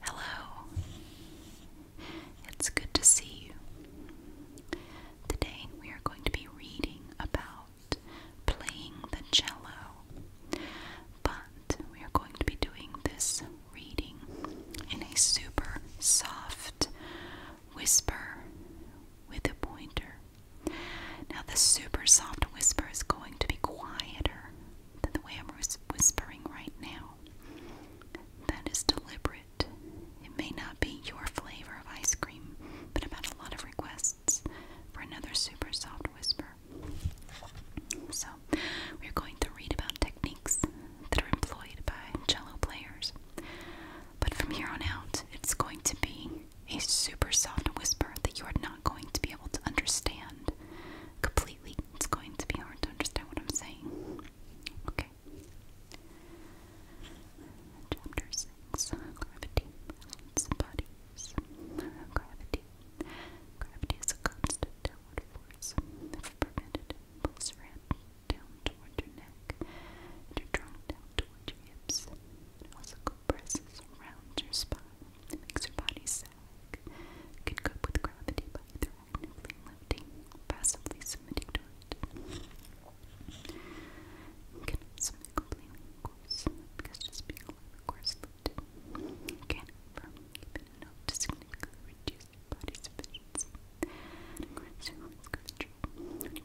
Hello. It's good to see you. Today we are going to be reading about playing the cello, but we are going to be doing this reading in a super soft whisper with a pointer. Now, the super soft whisper is going to be quieter than the way I'm whispering right now. That is deliberate. It may not be your flavor of ice cream, but I've had a lot of requests for another super soft whisper. So, we're going to read about techniques that are employed by cello players. But from here on out, it's going to be a super soft whisper that you are not going to be able to understand completely. It's going to be hard to understand what I'm saying. Okay. Chapter 6 Gravity, Balance, Bodies. Gravity. Gravity is a constant downward force. If prevented, pulls your head down toward your neck your trunk down toward your hips. It also compresses around your spine. It makes your body sag. can cope with gravity by either actively lifting passively submitting to it. can also be completely coarse, because just being a little coarse lifted can affirm even enough to significantly reduce body's efficiency. And according control, when your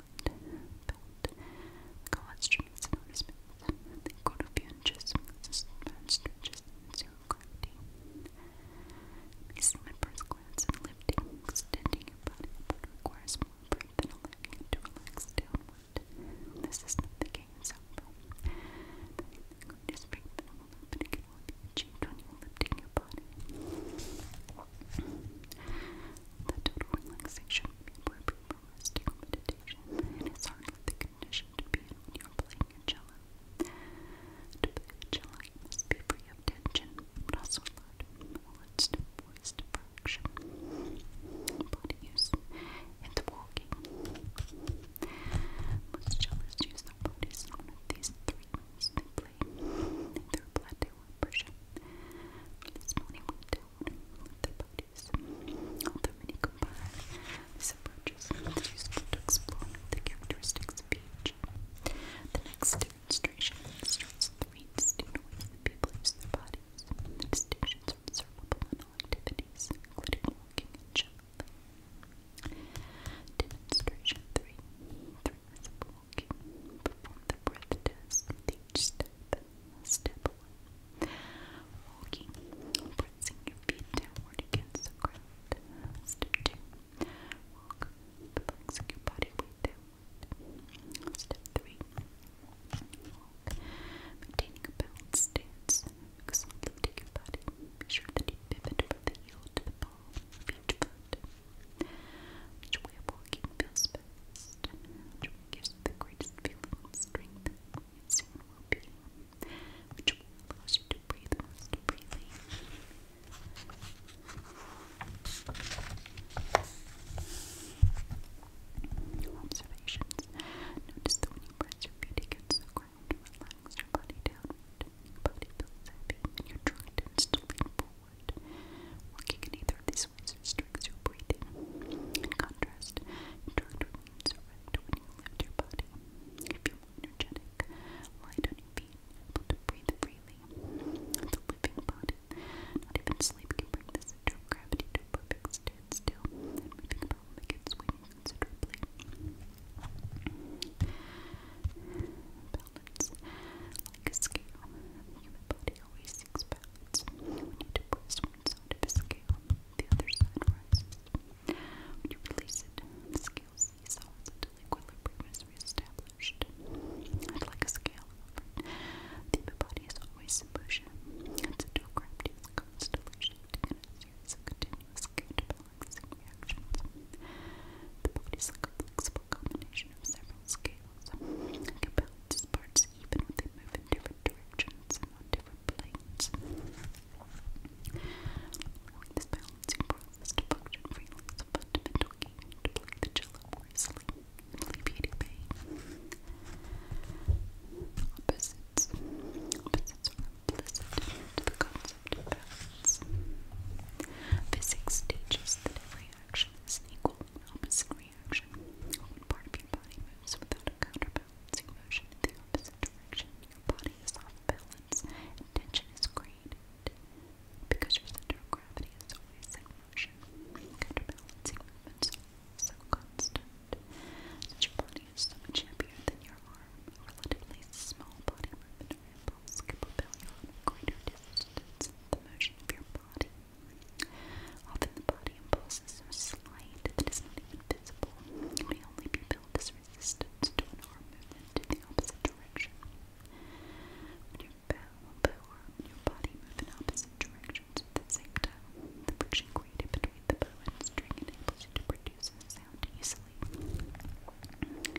belt. The coelstrum is known as belt. The codopianches consist of bone stretches and zero gravity. These slippers, glance, lifting, extending your body requires more breath than allowing you to relax This is not the game itself. The greatest breath when you're lifting your body. The total relaxation from meditation, and it's hardly the condition to be in when you playing a To play a cello, must be free of tension, but also alert, all its voice to use, and the walking. Most cellists use their bodies in these three moves they play, either plateau or pressure. This morning we did the produce. Although many combine these approaches, it's useful to explore the characteristics of each. The next demonstration illustrates the reeds in which the people use their bodies. The distinctions are observable in all activities, including walking and Demonstration 3. Three ways of Perform the breath test each step. Step one. Walking, pressing your feet downward against the ground. Step two. Walk, flexing your body weight downward. Step three. Walk, maintaining a balanced stance. Exhalating your body. Be sure that you pivot from the heel to the ball of each foot. Which way of walking feels best, which gives you the greatest feeling of strength, which allows you to breathe most freely. Observations. Notice that when you press your feet against the ground, it relax your body Your body feels heavy and you're trying to instantly forward. Working either of these ways restricts your In contrast, drugged remains erect you lift your body. feel energetic, light on your feet, breathe freely. It's a body. Not even sleep can to perfect standstill. moving about will make it swing Balance. Like a human body always seeks balance. We need to press one's side a scale, the other side rises. When you release it, the scale seesaws until equilibrium is reestablished. I'd like a scale The body is always in motion. Its dual gravity is constantly shifting of continuous counterbalancing reactions. The body is like a flexible combination of several scales. It can even when they move in directions and different planes. this balancing process to function freely fundamental key the cello more easily pain. Opposites. Opposites to the concept of balance. Physics teaches that every action is equal opposite reaction. part of your body moves without a counterbalancing motion in the opposite direction, your body is off balance tension is created because your center of gravity is always in motion. Counterbalancing movements are so constant your body is much heavier than your arm. relatively small body movement or impulse a greater distance the motion of your body. Often the body imposes are slight that it is not even visible. only be built resistance to an arm movement in the opposite direction. When your bow your body move in opposite directions at the same time, the friction created between the bow string enables you to sound easily.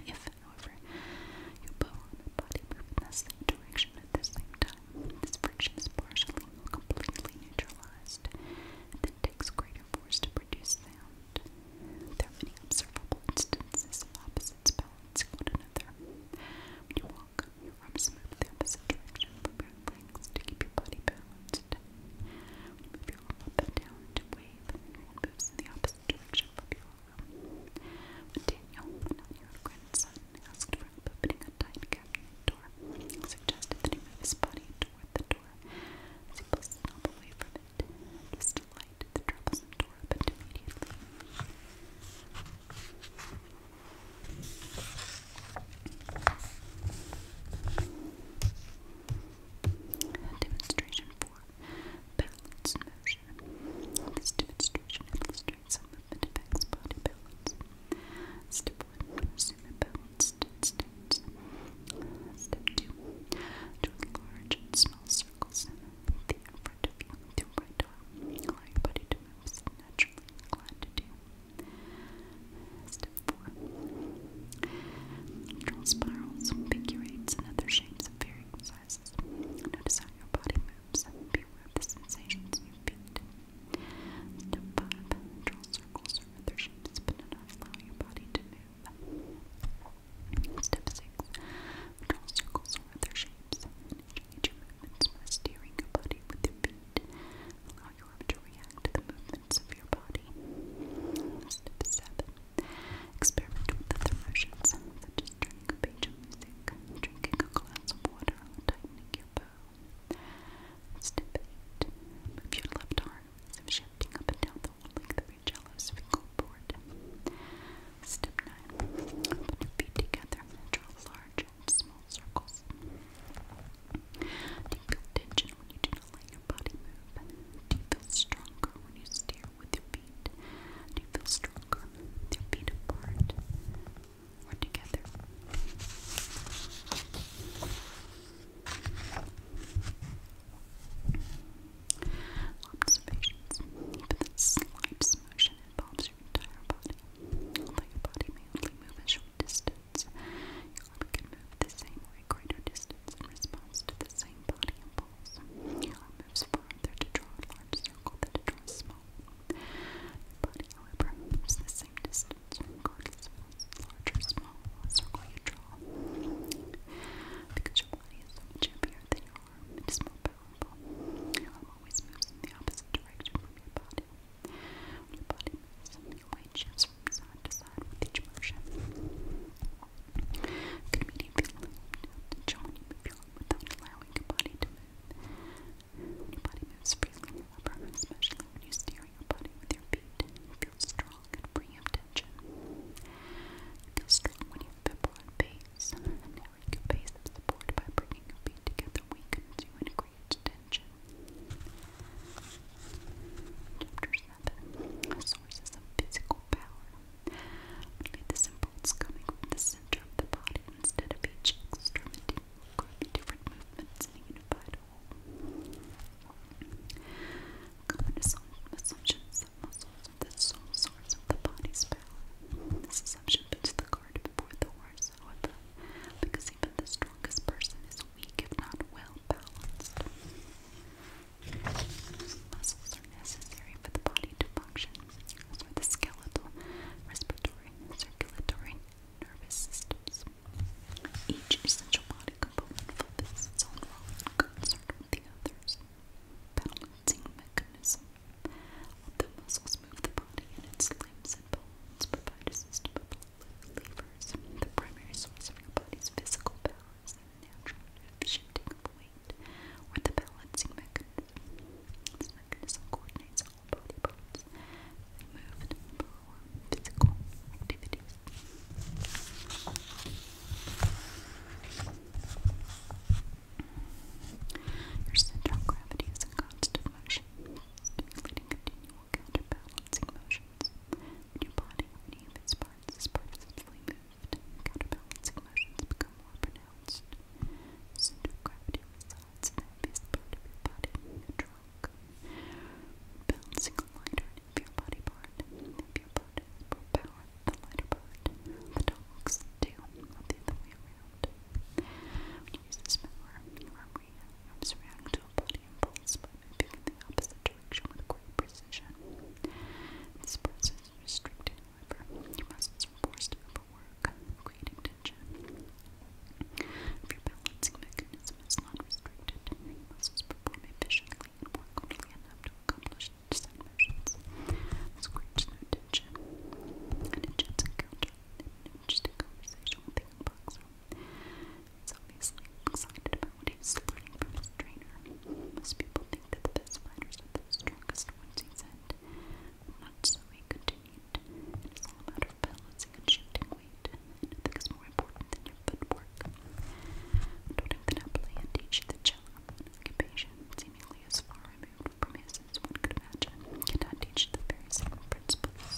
If, however, your bow and body move in the same direction at the same time, this friction is partially or completely neutralized and then takes greater force to produce sound. There are many observable instances of opposites balancing one another. When you walk, your arms move the opposite direction from your legs to keep your body balanced. When you move your arm up and down to wave, it moves in the opposite direction from your arm. When Daniel, now your grandson, asked Frank, opening a tight cabinet door, suggested that he move his body toward the door as he pulled snob it. This delight, the troublesome door opened immediately. Demonstration 4 Balance Motion. This demonstration illustrates how movement affects body balance. Step 1 Assume a balance. Step two. Draw large and small circles both in front of you with your right arm. Allow your body to move as so naturally inclined to do. Step four. Draw spirals, figure eights, and other shapes of varying sizes. Notice how your body moves. Beware of the sensations in your feet, Step 5. Draw circles or other shapes but do not allow your body to move. Step 6. Draw circles or other shapes and movements by steering your body with your feet. Allow your to react to the movements of your body. Step 7. Experiment with other motions such as turning a page of music, drinking a glass of water, tightening your bow, Stipulate. Move your left arm shifting up and down the length of your jello fingerboard. Step 9. Put your feet together and draw large and small circles. Do you feel tension when you do not let your body move? Do you feel stronger when you steer with your feet? Do you feel stronger with feet apart? We're Observations. Even the slightest motion involves your entire body. your body may only a short distance, your arm can move the same or a greater distance in response to the same body impulse. Your arm moves farther to draw large circle than to draw small Your body, however, moves the same distance circle is large or small, what circle you draw. Because your body is so much heavier than your arm, it is more powerful. Your arm always moves in the opposite direction from your body. When your body moves, your weight shifts from side to side with each motion. You can immediately feel the joint you move your arm without allowing your body to move. When your body moves freely in your upper, especially when you steer clearing your body with your feet. Feel strong and free Feel strong when you have a broad base. Narrow your base of support by bringing your feet together weakens you and creates tension. Sources of Physical Power. Only this impulse coming from the center of the body instead of each extremity. Different movements in a Common assumptions that muscle is the source of the body's power. This assumption puts the card before the horse, however, because even the strongest person is weak if not well balanced. Muscles are necessary for the body to function, as are the skeletal, respiratory, circulatory, nervous systems. Each essential body component fulfills its role in concert the others. Balancing mechanism. Although muscles move the body and its limbs and bones provide a system of levers, the primary source of your body's physical balance and natural shifting of weight, or the balancing mechanism. This mechanism coordinates all body parts and move and physical activities. Your center gravity is in constant motion, stimulating continual counterbalancing motions. your body or any of its parts is purposefully moved, counterbalancing motions become more pronounced. Your gravity resides in the heaviest part of body, rock. Bouncing lighter if body part, if your butt power, the lighter part. The dogs do, not the other way around. When you use this power, your arm arms react to a body impulse by moving the opposite direction with great precision. This process is restricted, however. Your muscles forced to overwork, creating tension. If your balancing mechanism is not restricted, your muscles perform efficiently and work only enough to accomplish the desired motions. Screech no tension. An intense encounter a young boxer. obviously excited about what he's learning Most people think that the best fighters are the strongest ones he's in. Not so, he continued. It is all about of and shifting weight. Nothing is more important than your footwork. Noting that happily and each the cello, an seemingly as far removed from his as one could imagine, cannot teach the very same principles.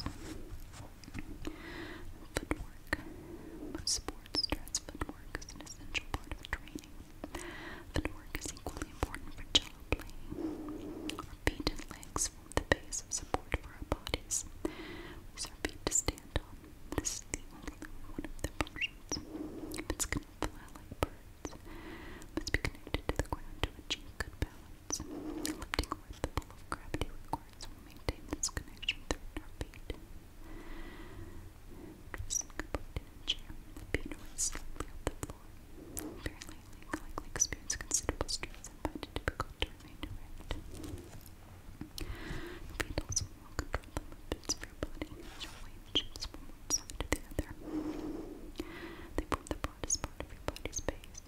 Footwork. Most sports stress footwork as an essential part of training. Footwork is equally important for cello playing. Our legs is the base of support for our bodies. It's our feet to stand on. This is the only one of the functions. It's going to fly like birds. Must be connected to the ground to achieve good balance. Lifting with the pull of gravity requires we maintain this connection through our feet. Dressing composed in a chair, the feet are slightly off the floor. Very likely, likely experience considerable stress and find it difficult to remain erect. Beetles will control the movements of your body as your weight shifts from one side to the other. They form the broadest part of your body space.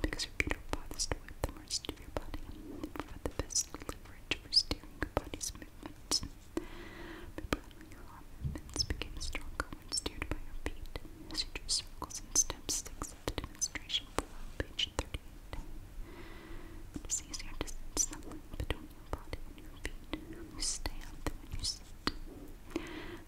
Because your feet are farthest away the rest of your body, they provide the best leverage for steering your body's movements. your arm movements became stronger when steered by your feet. As you drew circles and steps, sticks results demonstration page 38. It is easier to something between your body and your feet. You stay when you sit.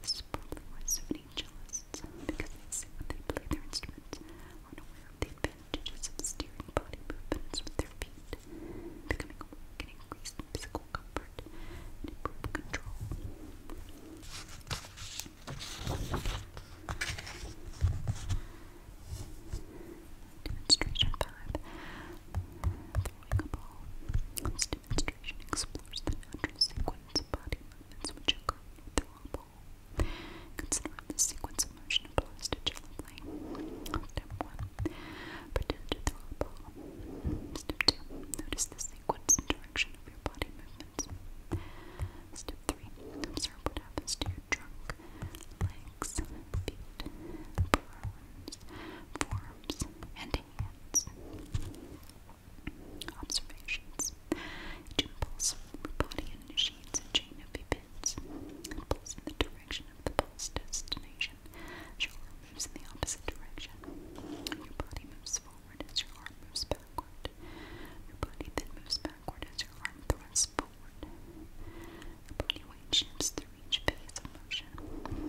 This is probably why so because they sit when they play their instruments, aren't aware of the advantages of steering body movements with their feet. Becoming aware can increase physical comfort and control. Demonstration 5 Throwing demonstration explores the natural sequence of body movements which occur when throw Consider the sequence of motion applies to jello play. Step 1. Pretend to throw Step 2. Notice the sequence and direction of your body movements. Step three. Observe what happens to your trunk, legs, feet, arms, forearms, and hands. Observations. Each impulse your body initiates a chain of events. Impulse in the direction of the pulse destination. Your arm moves in the opposite direction. Your body moves forward as your arm moves back. Your body then moves backward as your arm thrusts forward. Your body weight shifts through each phase of motion.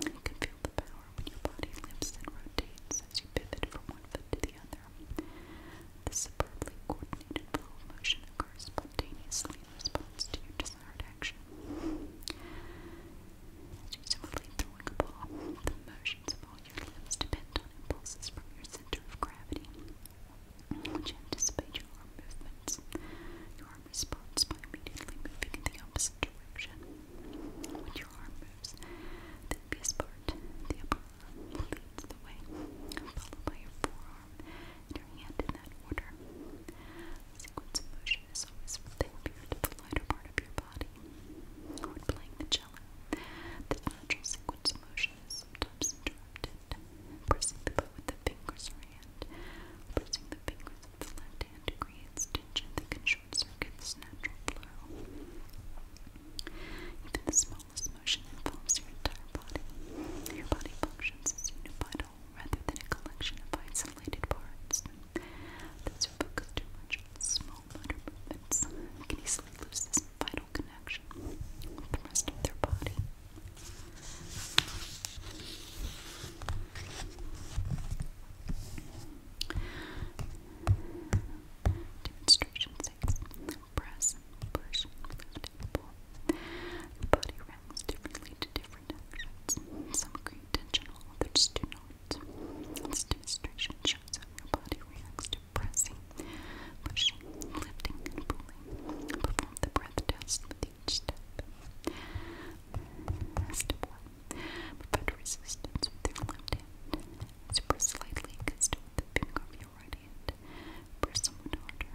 You can feel the power when your body lifts and rotates as you pivot from one foot to the other. This superbly coordinated flow of motion occurs spontaneously in response to your desired action. As you swiftly throwing a ball, the motions of all your limbs depend on impulses from your center of gravity. Once you anticipate your arm movements, your arm responds by immediately moving in the opposite direction. When your arm moves, the obvious part, the upper arm, leads the way, followed by your forearm and your hand in that order. The sequence of motion is always from the heavier to the lighter part of your body. When playing the cello, the natural sequence of motion is sometimes interrupted Pressing the bow with the fingers or hand. Pressing the fingers of the left hand creates tension that can short circuit natural flow. Even the smallest motion involves your entire body. Your body functions as unified whole rather than a collection of isolated parts. Those who focus too much on small motor movements can easily lose this vital the rest of their body. Demonstration 6. Press, push, lift, pull. Your body reacts differently to different actions. Some create tension, while others do not. This demonstration shows how your body reacts to pressing, pushing, lifting, and pulling. Perform the breath test with each step. Step 1. Provide resistance with your left hand. So press slightly against the finger of your right hand. Press somewhat harder.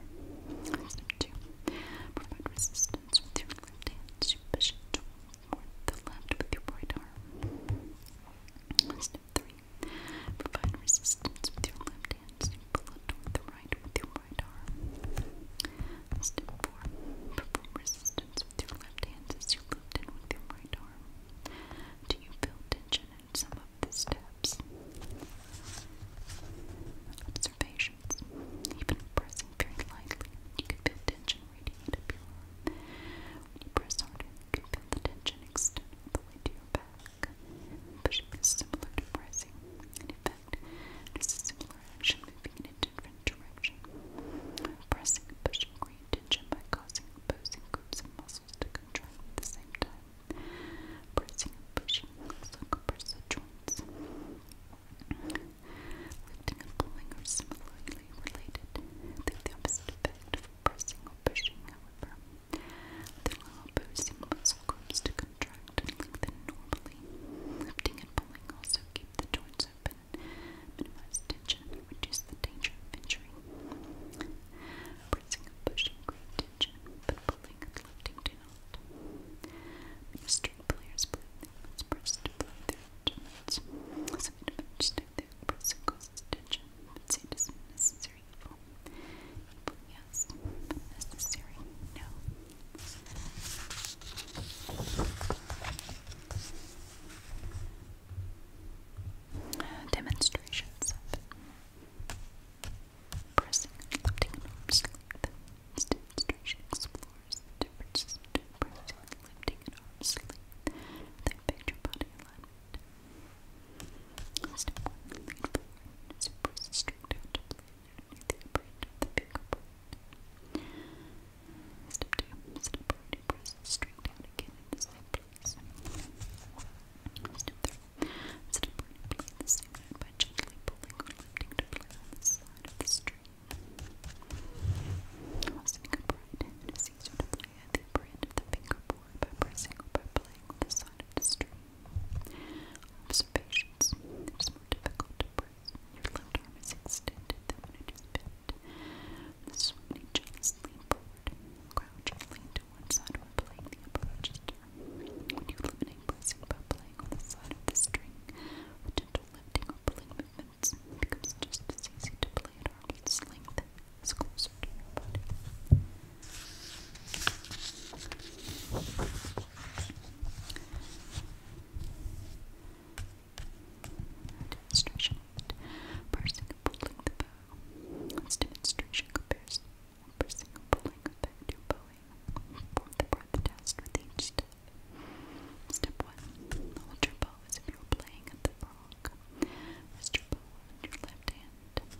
Step 2. Provide resistance with your left hand. So push it the left with your right arm. 3. Provide resistance with your left hand. Step blood with the right with your right arm. Step 4. Perform resistance with your left hand as you your right arm. Do you feel tension in some of the steps? Observations. Even pressing very lightly, you can feel tension radiate When you press harder, you can feel the tension extend all the way to your back. Pushing is similar to pressing. In effect, it is a similar action moving in a different direction. Pressing and pushing create tension by causing opposing groups of muscles to contract at the same time. Pressing and pushing also compress the joints. Lifting and pulling are similarly related. the opposite effect of pressing or pushing, however. The little boosting muscle groups to contract and lengthen normally. Lifting and pulling also keep the joints open, minimize tension, and reduce the danger of injury. Pressing and pushing create tension, but pulling and lifting do not. Many players believe they must to blow their instruments. Some individuals state that pressing causes tension, but see it as necessary necessary? Evil. yes. Necessary, no. Demonstrations of pressing and lifting an arm sleeve. This demonstration explores pressing and lifting an arm sleeve, their body Last important lead forward is a press straight down the upper end of the bigger board. Step 2. Step down the same place. Step 3. Step forward and play the same by gently or lifting to on the side of the string. Listening upright, it is easier to play at the upper the fingerboard by pressing or by playing on the side of the string. Observations. It is more difficult to breathe your left arm is extended than it is bent. The swinging jaws lean forward, crouching, lean to one side when playing the upper register. When you eliminate pressing by playing on the side of the string, with gentle lifting or pulling movements, it becomes just as easy to play at arm's length as close closer Demonstration of pulling the bow. This demonstration compares parsing and pulling back to bowing. Perform the breath test with each step. Step 1. Hold your bow as if you were playing at the rock. your bow on your left hand Step two.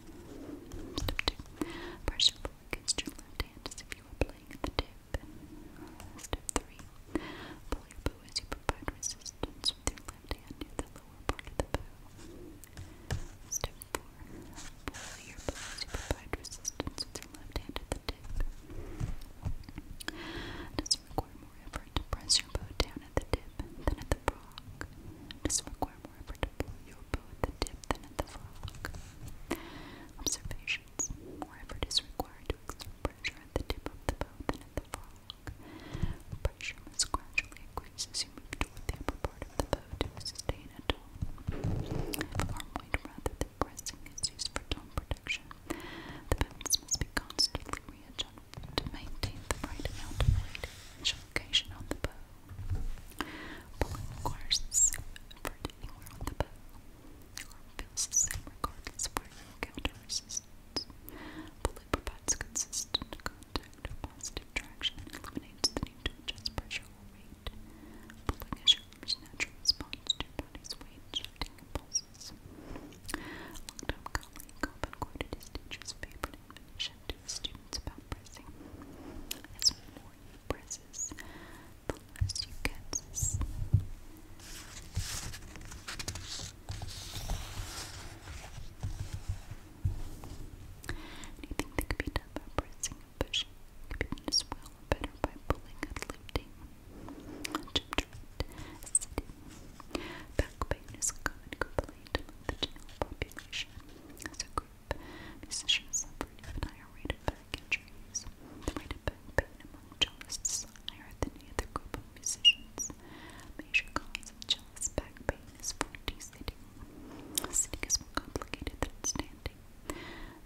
Press your ball against your left hand as if you were playing at the tip. Step three. Pull your bow as you provide resistance with your left hand near the lower part of the bow. Step four. Pull your bow as you provide resistance with your left hand at the tip. It require more effort to press your bow down at the tip than at the brock. It doesn't more predictable at the tip than at the fork. Observations. More effort is required to exert pressure at the tip of the bow than at the fork. Pressure must gradually increase as you move toward the upper part of the bow to sustain a tone. Arm weight rather than pressing is used for tone protection. The balance must be constantly readjusted to maintain the right amount of weight each location on the bow. Pulling requires the same effort anywhere on the bow. The arm feels the same regardless of where you encounter resistance. Pulling provides consistent contact or positive traction and eliminates the need to adjust pressure or weight. Pulling is your arm's natural response to your body's weight, shifting impulses. long-time colleague often quoted his teacher's favorite information students about pressing. As more you presses, the less you get. Anything that could be done by pressing a push could be done as well better by pulling and lifting. Sitting. Back pain is common complaint the general population. As Musicians suffered even higher rate of back injuries. The rate of back pain among cellists is higher than any other group of musicians. A major cause of cellist back pain is 4D sitting. Sitting is more complicated than standing.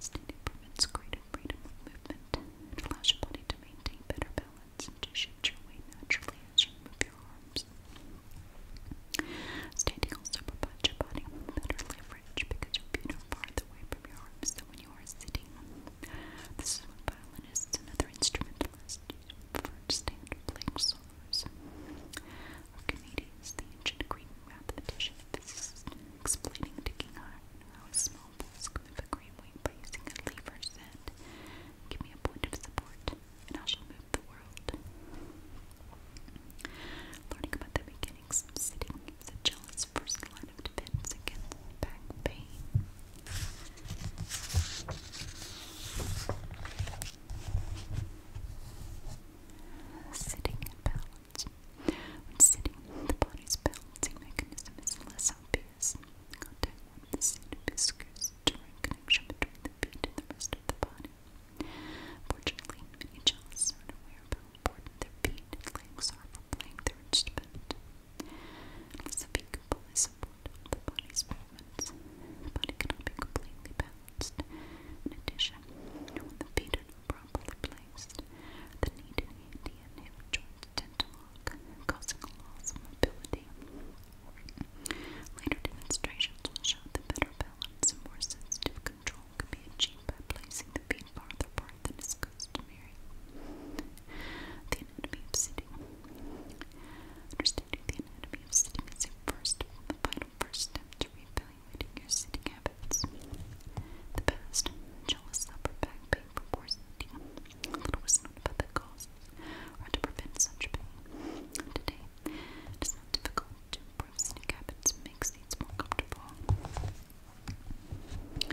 Standing permits greater freedom of movement. It allows your body to maintain better balance and to shift your weight naturally as you move your arms carbs. Stay tingles your body with better because your feet are farther away from your arms than when you are sitting. This is what violinists and other for standard playing Archimedes, the ancient Greek mathematician and physicist, explaining to King Hiram how a small pulse could move a great weight by using a lever, said, Give me a point of support, and I shall move the world. Learning about the beginnings sitting is jealous first line of defense against back pain. Sitting and balance. When sitting, the body's balancing mechanism is less obvious. Contact the seat of his during connection between the feet and the rest of the body. Fortunately, many jealous are unaware of how important their feet and legs are for playing their instrument. Unless the feet can fully support all the body's movements, the body cannot be completely balanced. In addition, when the feet are not properly placed, the knee and handy and joints tend to lock, causing loss of mobility. Later demonstrations will show the better balance and more sensitive control can be achieved by placing the bean farther apart than is customary. The anatomy of sitting. Understanding the anatomy of sitting is a first, the first step to reevaluating your sitting habits. The past, jealous upper back pain from poor sitting. Little was known about the or to prevent such pain. Today, it is to improve sneak habits and make more comfortable.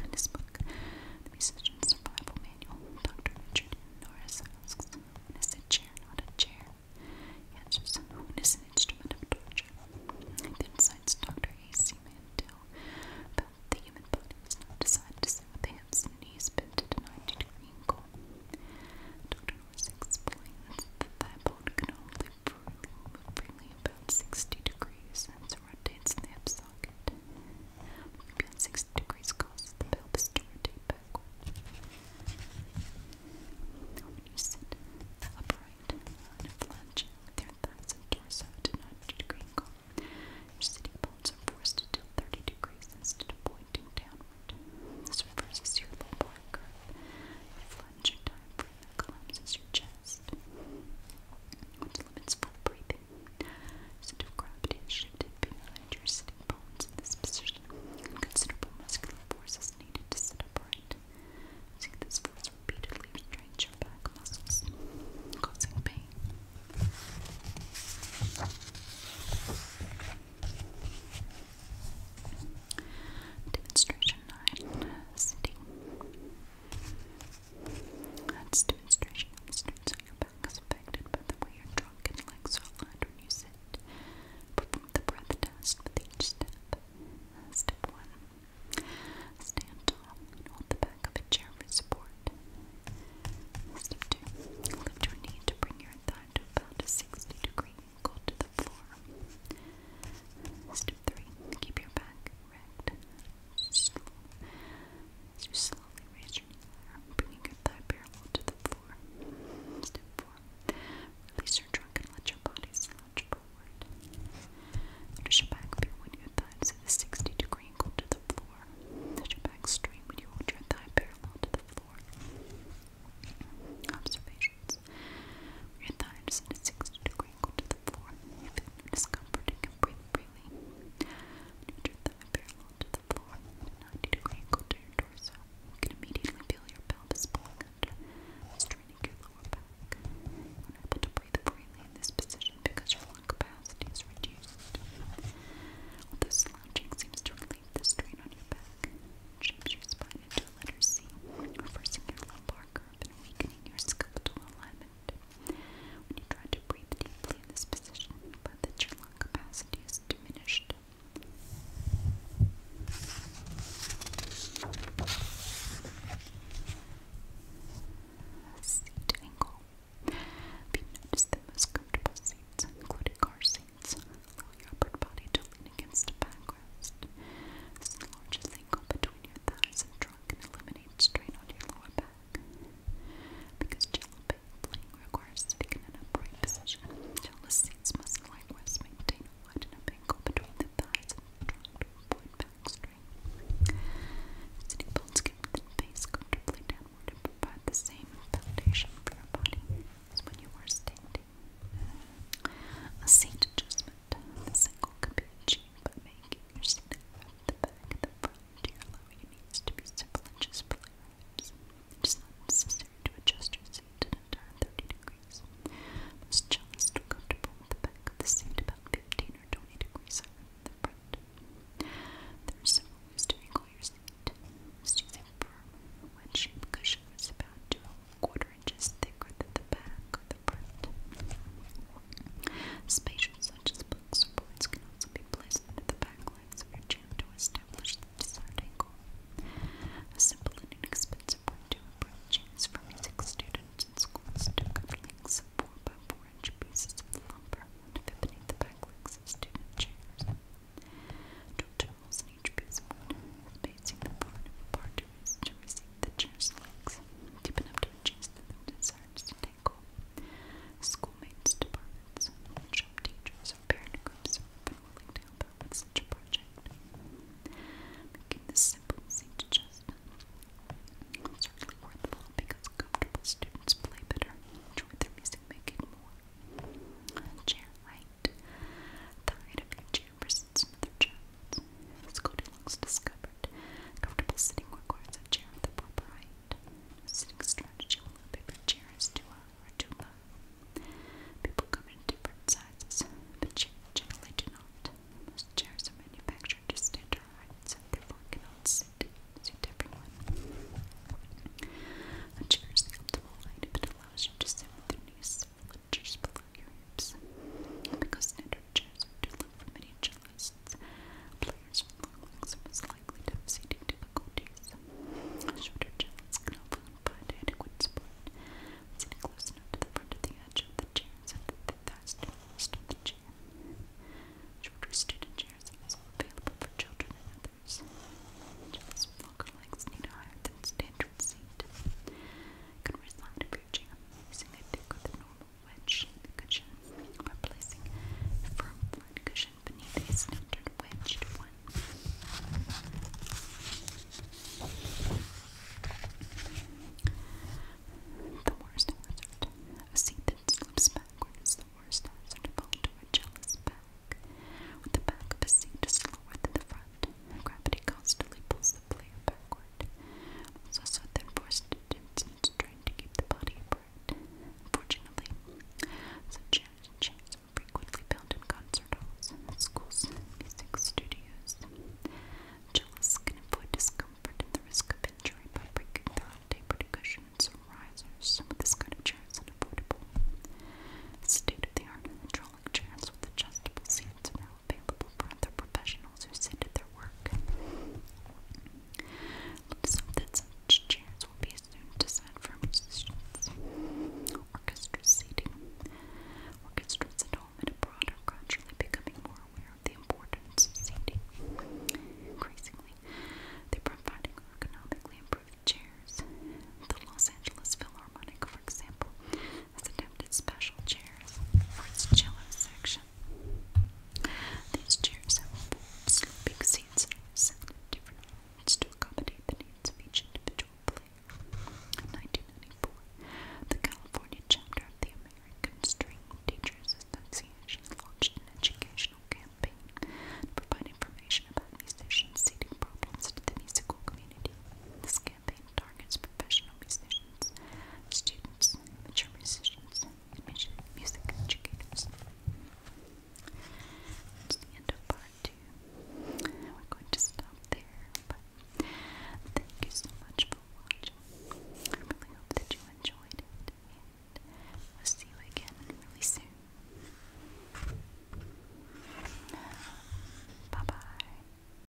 In his book, The Musician's Survival Manual, Dr. Richard Norris asks, What is a chair, not a chair? He answers, What is an instrument of torture? He then Dr. A.C. Mandel about the human body was not decided to sit with the hips and knees bent at a 90 degree angle. Dr. Norris explains that that bone can only freely about 60 degrees as the hip socket. Maybe 60 degrees causes the pelvis to rotate backwards. When you sit upright and flunging their thighs and torso to 90 degree sitting bones are forced to tilt 30 degrees instead of pointing downward. This reverses your lumbar curve cleanse your diaphragm that collapses your chest, which limits full breathing. Center of gravity shifted behind your sitting bones in this position, and considerable muscular force is to sit upright. this force repeatedly strains your back muscles, causing pain. Demonstration 9 Sitting. That's demonstration your back is affected by the way your trunk and legs are aligned when you sit. Perform the breath test with each step. Step 1. Stand tall hold the back of a chair for support. Step 2. Lift your knee to bring your thigh to about a 60 degree go to the floor. Step three, keep your back erect. As you slowly raise your knee bringing your thigh parallel to the floor. Step four, release your trunk and let your body slouch forward. Notice your back when your thighs at a 60 degree angle to the floor. Let your back straight when you hold your thigh parallel to the floor. Observations. Your thighs at 60 degree angle to the floor. You feel no discomfort and can breathe freely. Put your thigh parallel to the floor 90 degree angle to your torso. You can immediately feel your pelvis pulling under, straining your lower back. unable to breathe freely in this position because your lung capacity is reduced. Although slouching seems to relieve the strain on your back, it shapes your spine into the letter C, reversing your lumbar curve and weakening your skeletal alignment. When you try to breathe deeply in this position, but that your lung capacity is diminished. Seat angle. If you notice the seats, including car seats, your upper body to against a backrest. This enlarges angle between your thighs and trunk eliminates strain on your lower back. Because jello playing requires sitting in upright position, jello seats must likewise maintain a wide enough angle between the thighs and trunk to avoid back strain. Sitting bones can then face comfortably downward and provide the same foundation for your body as when you are standing. A seat adjustment. The single can be achieved by making your seat from the back and the front to allow your to be several inches below your not necessary to adjust your seat to an 30 degrees. Most comfortable with the back of the seat about 15 or 20 degrees higher the front. There are several ways to your seat. First, using firm, wedge-shaped cushions about 2 quarter inches thicker than the back or the front. Spatial such as books boards can also be placed under the back legs of your chair to establish the desired angle. A simple and inexpensive way to improve chairs for music students in schools to cut lengths of 4 by 4 inch pieces of lumber to the back legs of student chairs. Dr. Wilson each gooseborn facing the part of to receive the chair's legs, deep enough to adjust the mood desires tangle. Schoolmates, departments, shop teachers, or parent groups are such a project. Making this simple seems just certainly worthwhile because comfortable students play better, enjoy their music making more. Chair height. The height of your chair presents Comfortable sitting requires a chair with the proper height. sitting strategy will a paper chair or too People come in different sizes, but chairs generally do not. chairs are manufactured to standard heights and therefore cannot sit, A chair is the optimal allows you to sit with your knees similar groups. Because standard chairs are too low for many cellists, players with long legs are most likely to have seating difficulties. Shorter cellists can often provide adequate support, sitting close to the front of the edge of the chair so that the thighs do rest the chair. Shorter student chairs are also available for children and others. Cellists with longer legs need a higher than standard seat. It can reside paper jam using a dick with a normal wedge in the cushion, replacing a firm flat cushion beneath a standard wedged one. The worst hazard. A seat that slips backward is the worst hazard of all to a jealous back. With the back of a seat is lower than the front left. Gravity constantly pulls the player backward. Also, so then forced to distance trying to keep the body apart. Unfortunately, such chairs and chairs are frequently found in concert halls, schools, music studios. Jealous can avoid discomfort and the risk of injury by breaking through tapered cushions or risers. This kind of chair is unavoidable. State of the art hydraulic chairs with adjustable seats and available for other professionals who sit at their work. Let's hope that such chairs will be soon designed for musicians. Orchestra seating. Orchestras at home and abroad are gradually becoming more aware of the importance of seating. Increasingly, they're providing ergonomically improved chairs. The Los Angeles Philharmonic, for example, has adapted special chairs for its cello section. These chairs have sleeping seats set at different to accommodate the needs of each individual player. In 1994, the California chapter of the American String Teachers Association launched an educational campaign to provide information about these musicians' seating problems to the musical community campaign targets professional musicians, students, mature musicians, and music educators. That's the end of part two. We're going to stop there, but thank you so much for watching. I really hope that you enjoyed it, and we'll see you again really soon. Bye bye.